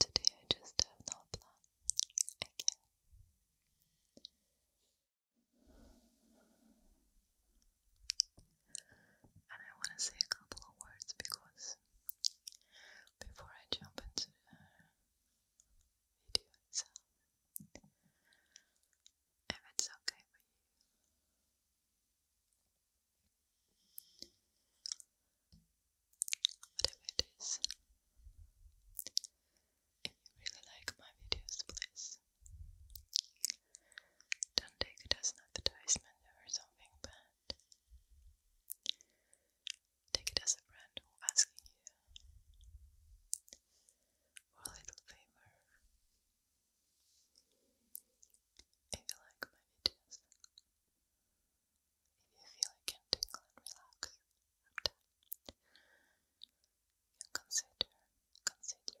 Today I just have no plan And I want to say a couple of words because before I jump into the video itself, if it's okay for you. Whatever it is, if you really like my videos, please don't take it as an advertisement or something bad. Take it as a friend asking you for little favor. If you like my videos, if you feel you can and relax consider, consider, consider,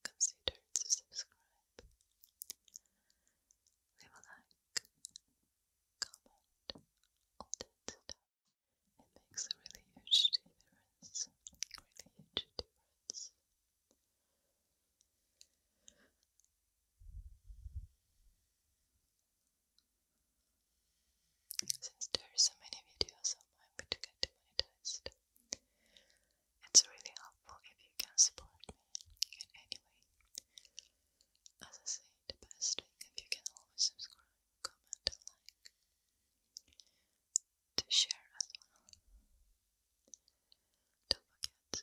consider to subscribe, leave a like, comment, all that It makes a really huge difference. Really huge difference. Since there are so many videos online which get monetized, it's really helpful if you can support me in As I say, the best thing if you can always subscribe, comment, like. To share as well. Don't forget to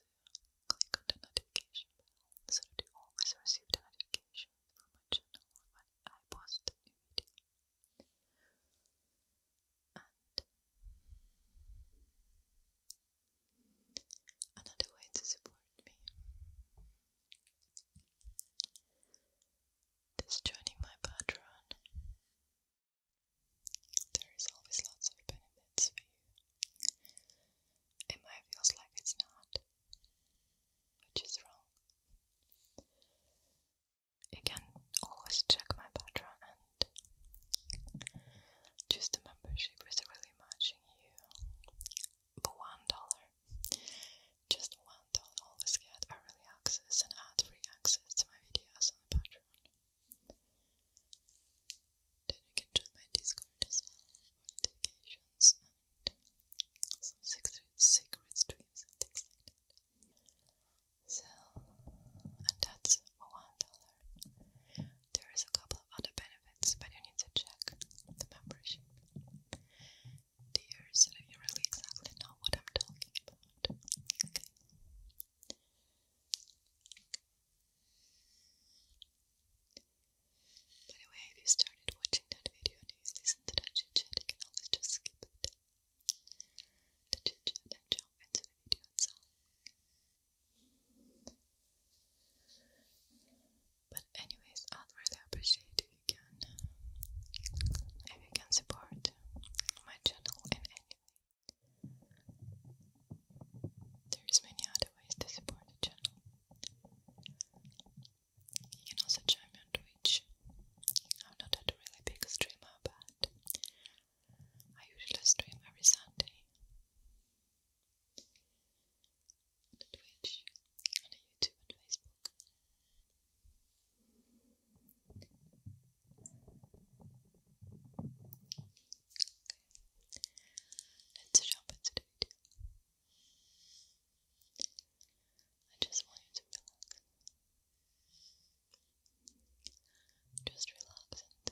click on the notification bell so that you always receive the notification from my channel when I post a new video another way to support me. Just joining my Patreon. There is always lots of benefits for you. It might feels like it's not, which is wrong. You can always check my Patreon and choose the membership with a really much you for one dollar. Just one dollar always get early access and ad-free access to my videos on Patreon. Then you can join my Discord as well for and some secret, secret and things like that. So, and that's one dollar. There is a couple of other benefits, but you need to check the membership. Dear, so you really exactly know what I'm talking about. Okay. By the if you started watching that video and you listen to that chit you can always just skip it. The chit jump into the video itself. But anyways, I'd really appreciate if you can if you can support my channel in any way. There is many other ways to support the channel. You can also join me on Twitch. I'm not a really big streamer but I usually stream every Sunday and Twitch, and YouTube and Facebook. Okay. Let's jump into the video. I just want you to relax. Just relax and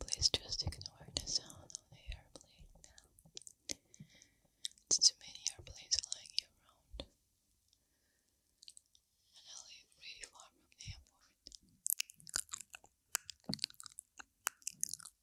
Please just ignore the sound of the airplane now. It's too many airplanes flying around. And I live really far from the airport.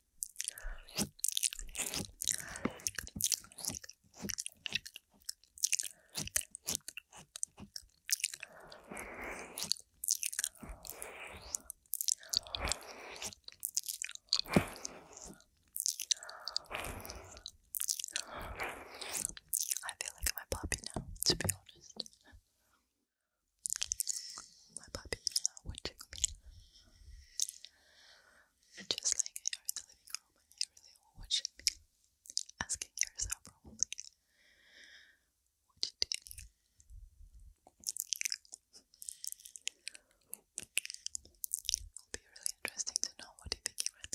I feel like I'm a puppy now, to be honest. My puppy is now watching me. Just like here in the living room, and here they were watching asking yourself probably, what you do. It'll be really interesting to know what you think you read.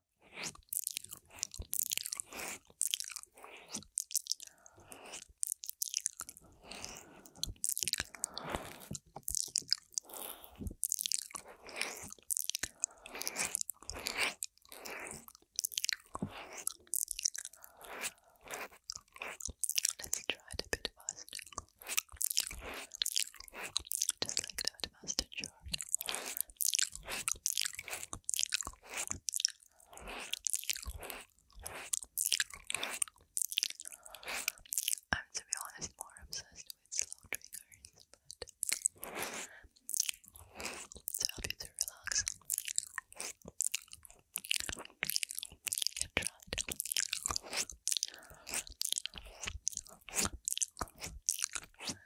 Let's try it a bit faster. Just like that perfect mustard short. I'm to be honest more obsessed with slow triggers, but to help you to relax. You tried.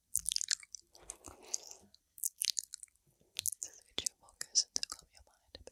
Just get you focus and calm your mind a bit.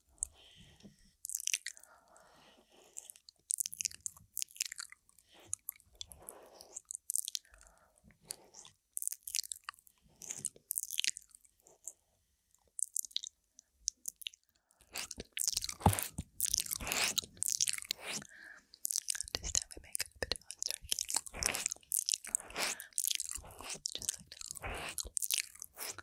This time we make it a bit of a turkey. Just like that.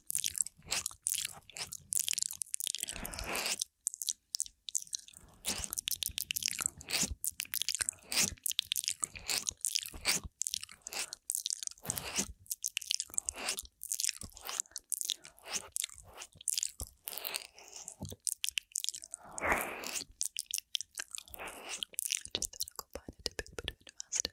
Just thought I'd combine a bit of a master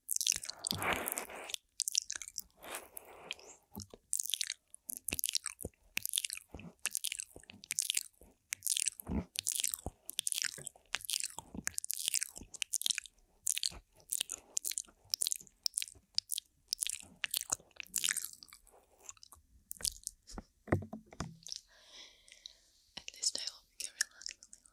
At least I hope you can relax a little